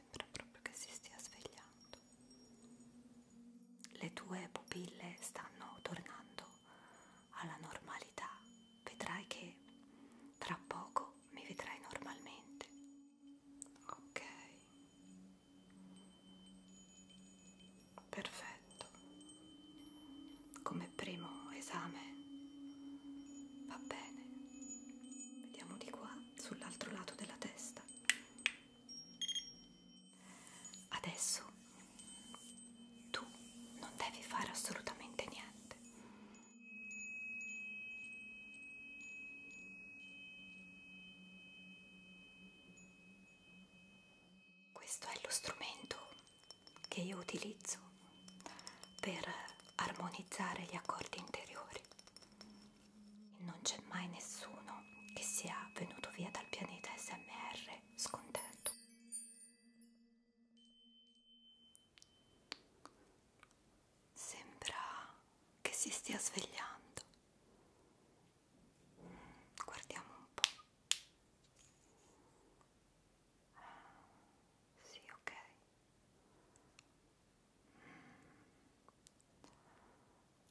Sembra proprio che si stia svegliando. Le tue pupille stanno tornando alla normalità. Vedrai che tra poco mi vedrai normalmente. Ok. Perfetto. Come primo esame Va bene. Vediamo di qua, sull'altro lato della testa. Adesso tu non devi fare assolutamente niente. Questo è lo strumento che io utilizzo per armonizzare gli accordi interiori. Non c'è mai nessuno che sia venuto via dal pianeta SMR scontento. Sembra che si stia svegliando. Guardiamo un po'. Sì, ok.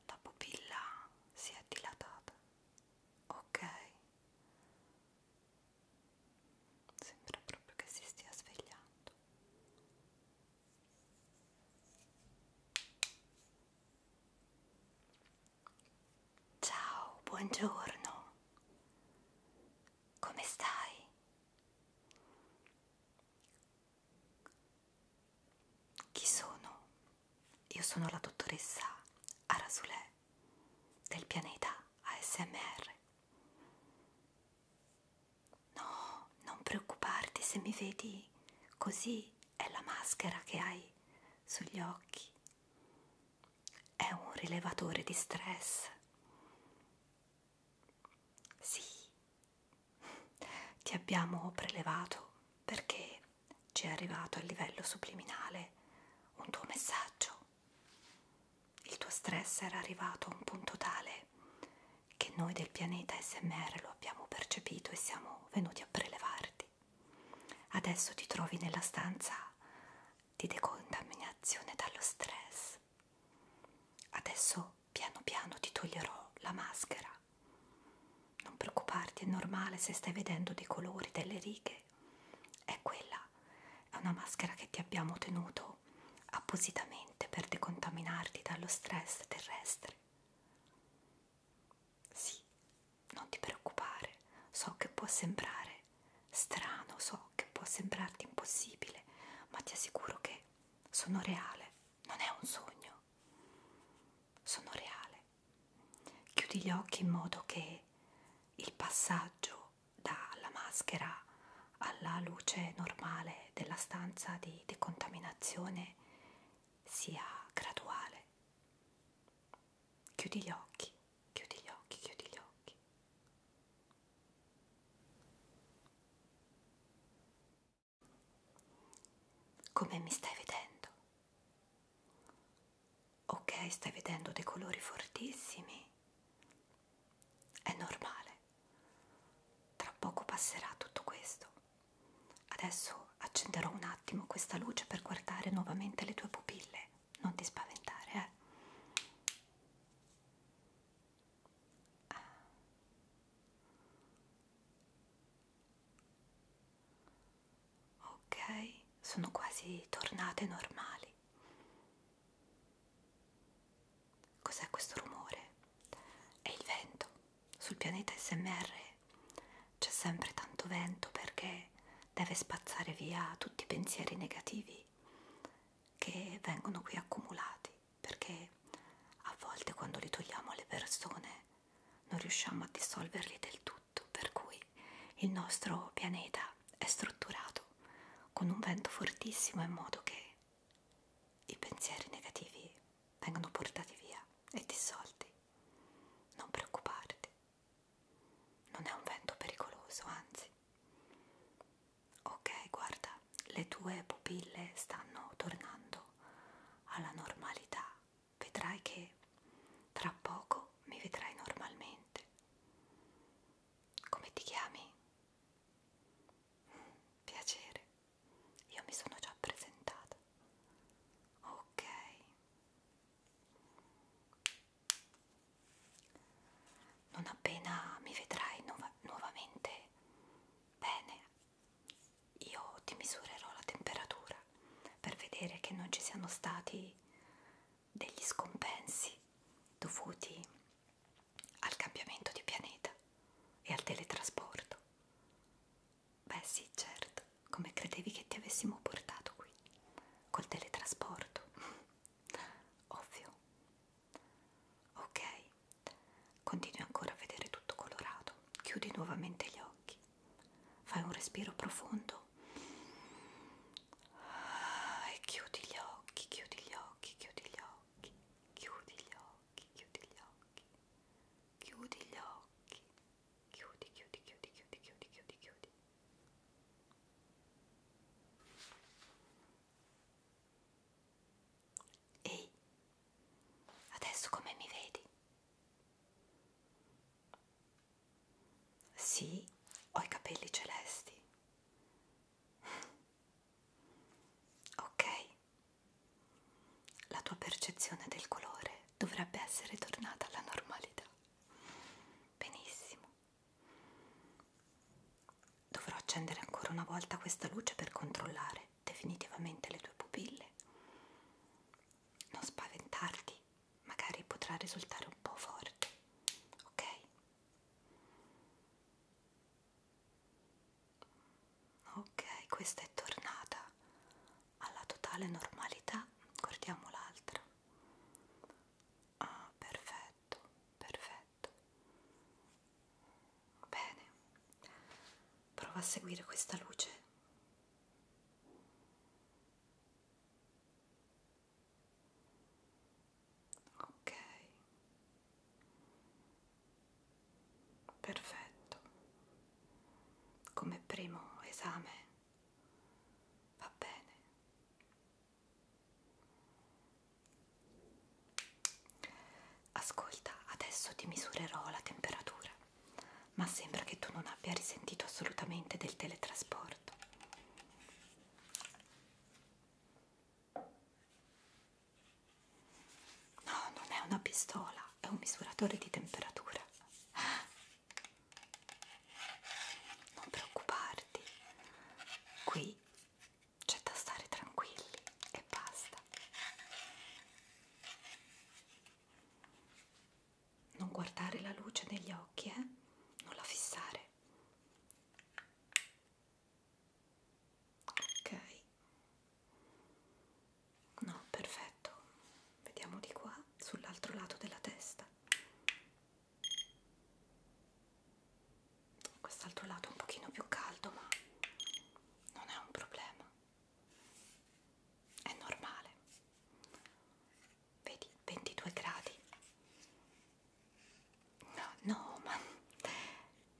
La pupilla si è dilatata. Ok. Sembra proprio che si stia svegliando. Ciao, buongiorno. Come stai? Chi sono? Io sono la dottoressa Arasulè del pianeta ASMR. No, non preoccuparti se mi vedi così, è la maschera che hai sugli occhi. È un rilevatore di stress. Sì, ti abbiamo prelevato perché ci è arrivato a livello subliminale un tuo messaggio. Il tuo stress era arrivato a un punto tale che noi del pianeta SMR lo abbiamo percepito e siamo venuti a prelevarti. Adesso ti trovi nella stanza di decontaminazione dallo stress Adesso piano piano ti toglierò la maschera. Non preoccuparti, è normale se stai vedendo dei colori, delle righe. È quella, è una maschera che ti abbiamo tenuto appositamente per decontaminarti dallo stress terrestre. Sì, non ti preoccupare, so che può sembrare strano, so sogno che può sembrarti impossibile, ma ti assicuro che sono reale, non è un sogno, sono reale. Chiudi gli occhi in modo che il passaggio dalla maschera alla luce normale della stanza di decontaminazione sia graduale. Chiudi gli occhi, chiudi gli occhi, chiudi gli occhi. Come mi stai vedendo? Ok, stai vedendo dei colori fortissimi. È normale. Tra poco passerà tutto questo. Adesso accenderò un attimo questa luce per guardare nuovamente le tue pupille. Non ti spaventare, eh? a ah. ok sono quasi tornate normali cos'è questo rumore è il vento sul pianeta smr c'è sempre tanto vento perché deve spazzare via tutti i pensieri negativi che vengono qui accumulati perché a volte quando li togliamo alle persone non riusciamo a dissolverli del tutto, per cui il nostro pianeta è strutturato con un vento fortissimo in modo che i pensieri negativi vengono portati via e dissolti. Non preoccuparti, non è un vento pericoloso, anzi Ok, guarda, le tue pupille stanno tornando alla normalità. Vedrai che tra poco mi vedrai normalmente. Come ti chiami? Mm, piacere, io mi sono già presentata. Ok. Non appena mi vedrai nuovamente nuovamente bene. Io ti misurerò la temperatura per vedere che non ci siano stati degli scompensi dovuti al cambiamento di pianeta e al teletrasporto. Beh sì, certo, come credevi che ti avessimo portato qui, col teletrasporto, ovvio. Ok, continui ancora a vedere tutto colorato, chiudi nuovamente gli occhi, fai un respiro profondo e chiudi gli occhi, chiudi gli occhi, chiudi gli occhi, chiudi gli occhi, chiudi gli occhi, chiudi gli occhi, chiudi, chiudi, chiudi, chiudi, chiudi, chiudi, chiudi. Ehi, adesso come mi vedi? Sì, ho i capelli celesti. Ok, la tua percezione del colore dovrebbe essere tornata alla normalità. Benissimo. Dovrò accendere ancora una volta questa luce per controllare definitivamente le tue pupille. Non spaventarti, magari potrà risultare un po' forte, ok? Ok, questa è tornata alla totale normalità, guardiamo l'altra. Ah, perfetto, perfetto letto. Bene, prova a seguire questa luce. Ok, perfetto. Come primo esame va bene. Ascolta, adesso ti misurerò la temperatura, ma sembra che tu non abbia risentito assolutamente del teletrasporto. No, non è una pistola, è un misuratore di temperatura. Non preoccuparti, qui c'è da stare tranquilli e basta. Non guardare la luce negli occhi, eh? Non la fissare. Ok. No, perfetto. Vediamo di qua, sull'altro lato della testa quest'altro lato è un pochino più caldo ma non è un problema è normale vedi 22 gradi no no ma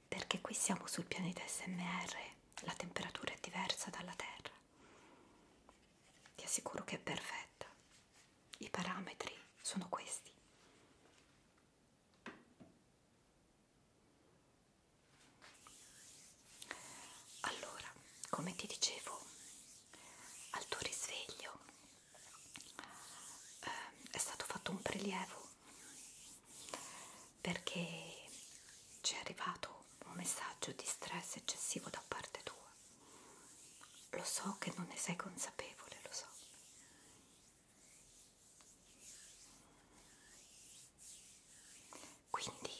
perché qui siamo sul pianeta smr la temperatura è diversa dalla terra ti assicuro che è perfetta i parametri sono questi allora, come ti dicevo, al tuo risveglio eh, è stato fatto un prelievo perché ci è arrivato un messaggio di stress eccessivo da parte tua. Lo so che non ne sei consapevole, lo so. Quindi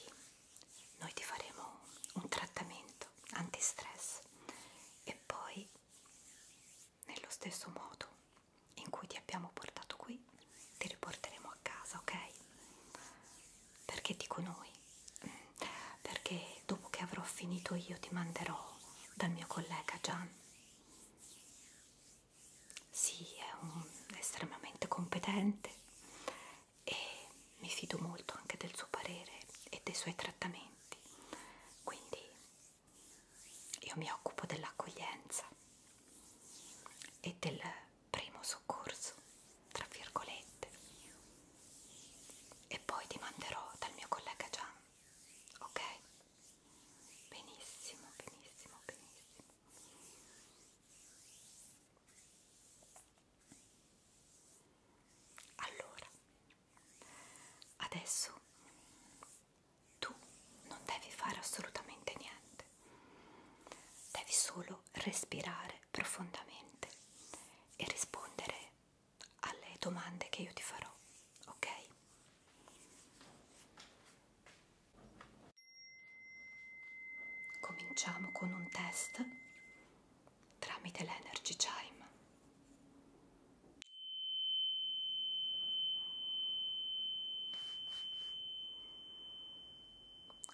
noi ti faremo un trattamento anti-stress e poi nello stesso modo in cui ti abbiamo portato qui ti riporteremo a casa, ok? Perché dico noi? Perché dopo che avrò finito io ti manderò dal mio collega Gian sì, è un, estremamente competente e mi fido molto anche del suo parere e dei suoi trattamenti, quindi io mi occupo dell'accoglienza e del primo soccorso, tra virgolette, e poi ti manderò dal mio collega Gian, ok? benissimo, benissimo, benissimo. Allora, adesso tu non devi fare assolutamente niente, devi solo respirare profondamente e rispondere alle domande che io ti farò, ok? Cominciamo con un test tramite l'Energy Chime.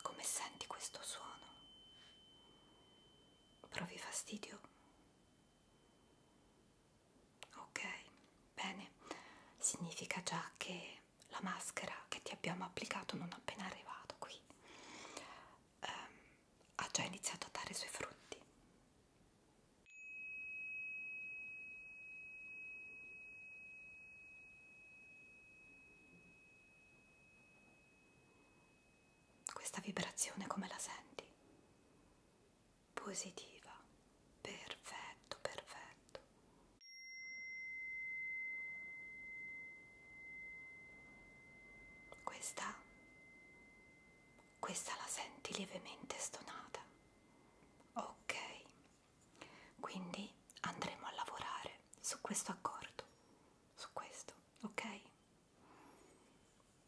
Come senti questo suono? Provi fastidio? ok bene significa già che la maschera che ti abbiamo applicato non appena arrivato qui ehm, ha già iniziato a dare i suoi frutti questa vibrazione come la senti positiva. Perfetto, perfetto. Questa questa la senti lievemente stonata. Ok. Quindi andremo a lavorare su questo accordo, su questo, ok?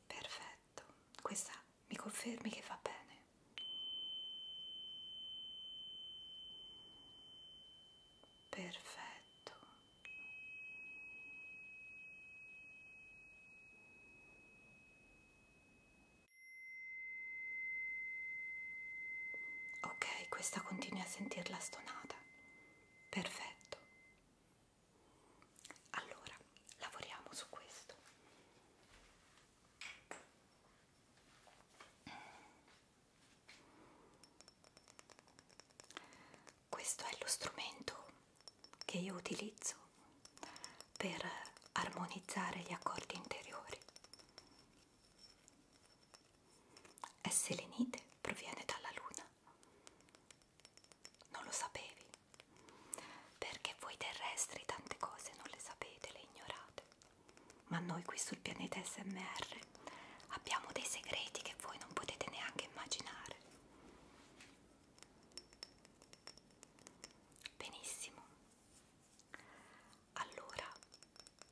Perfetto. Questa mi confermi che va bene. Perfetto. Ok, questa continui a sentirla stonata. Perfetto. Allora, lavoriamo su questo. Questo è lo strumento che io utilizzo per armonizzare gli accordi interiori. È selenite, proviene dalla luna. Non lo sapevi, perché voi terrestri tante cose non le sapete, le ignorate. Ma noi qui sul pianeta SMR abbiamo dei segreti che voi non potete neanche immaginare. Benissimo. Allora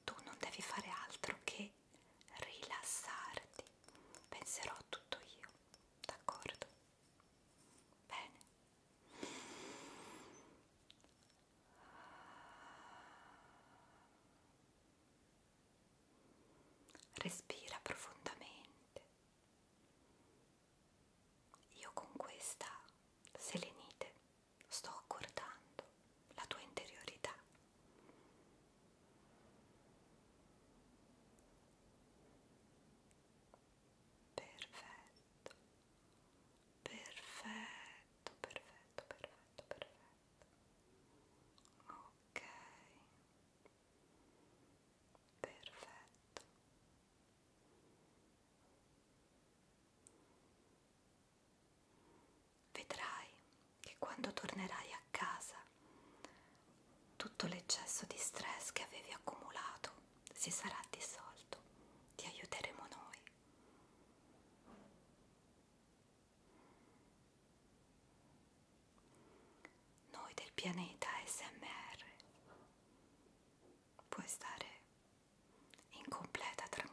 tu non devi fare altro che rilassarti. Penserò a tutto io, d'accordo? Bene. Respira profondamente. Io con questa selenite sto accordando la tua interiorità. Perfetto. Perfetto, perfetto, perfetto, perfetto. Ok. Perfetto. Vedrai che quando tornerai a casa tutto l'eccesso di stress che avevi accumulato si sarà dissolto. Ti aiuteremo noi noi del pianeta SMR puoi stare in completa tranquillità.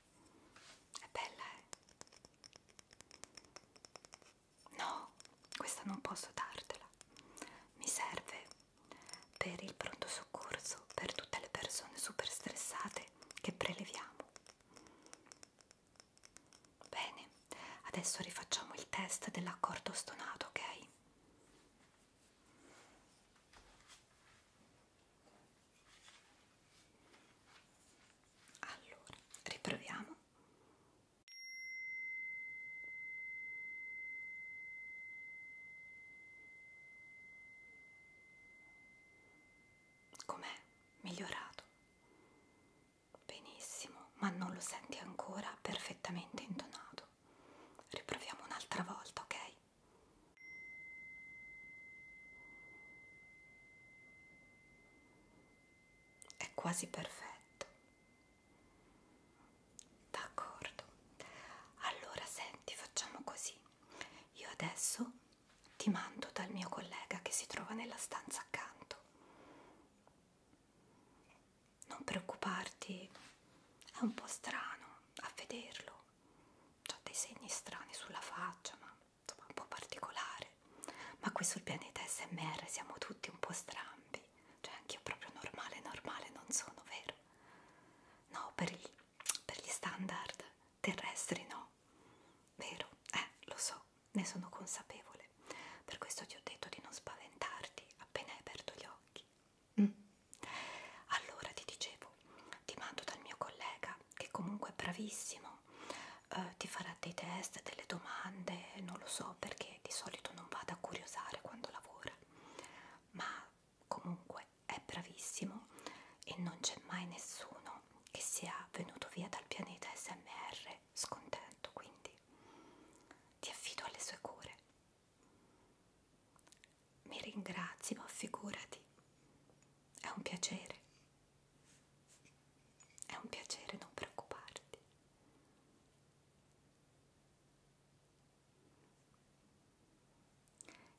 È bella, eh? No, questa non posso dartela. Mi serve per il pronto soccorso, per tutte le persone super stressate che preleviamo. Bene, adesso rifacciamo il test dell'accordo stonato, ok? Allora, riproviamo. Com'è? Migliorato? Benissimo, ma non lo senti ancora perfettamente intonato. Riproviamo un'altra volta, ok? È quasi perfetto. D'accordo. Allora senti, facciamo così. Io adesso ti mando dal mio collega che si trova nella stanza accanto. Non preoccuparti, è un po' strano a vederlo. C'ha dei segni strani sulla faccia, ma insomma un po' particolare, ma qui sul pianeta SMR siamo tutti un po' strambi, cioè anch'io proprio normale, normale non sono, vero? No, per, il, per gli standard terrestri no, vero? Eh, lo so, ne sono consapevole, per questo ti ho detto di non spaventarti appena hai aperto gli occhi. Mm. Allora ti dicevo, ti mando dal mio collega che comunque è bravissimo no? Eh, ti farà dei test, delle domande, non lo so perché di solito non vado a curiosare quando lavora, ma comunque è bravissimo e non c'è mai nessuno che sia venuto via dal pianeta SMR scontento, quindi ti affido alle sue cure. Mi ringrazi, ma figurati, è un piacere. È un piacere, non preoccuparti.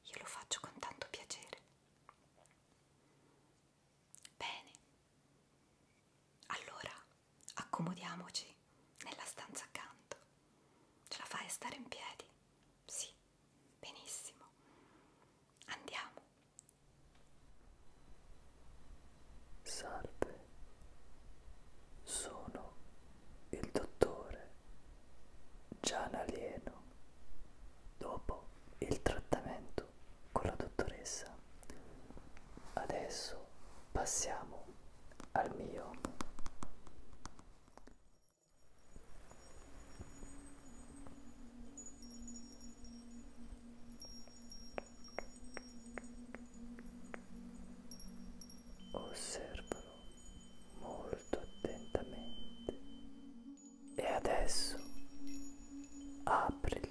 Io lo faccio con tanto piacere. Bene. Allora accomodiamoci nella stanza accanto. Ce la fai a stare in piedi? Sì. Benissimo, andiamo. Salve, sono il dottore Gian Alieno. Dopo il trattamento con la dottoressa, adesso passiamo al mio Osservalo molto attentamente e adesso aprili.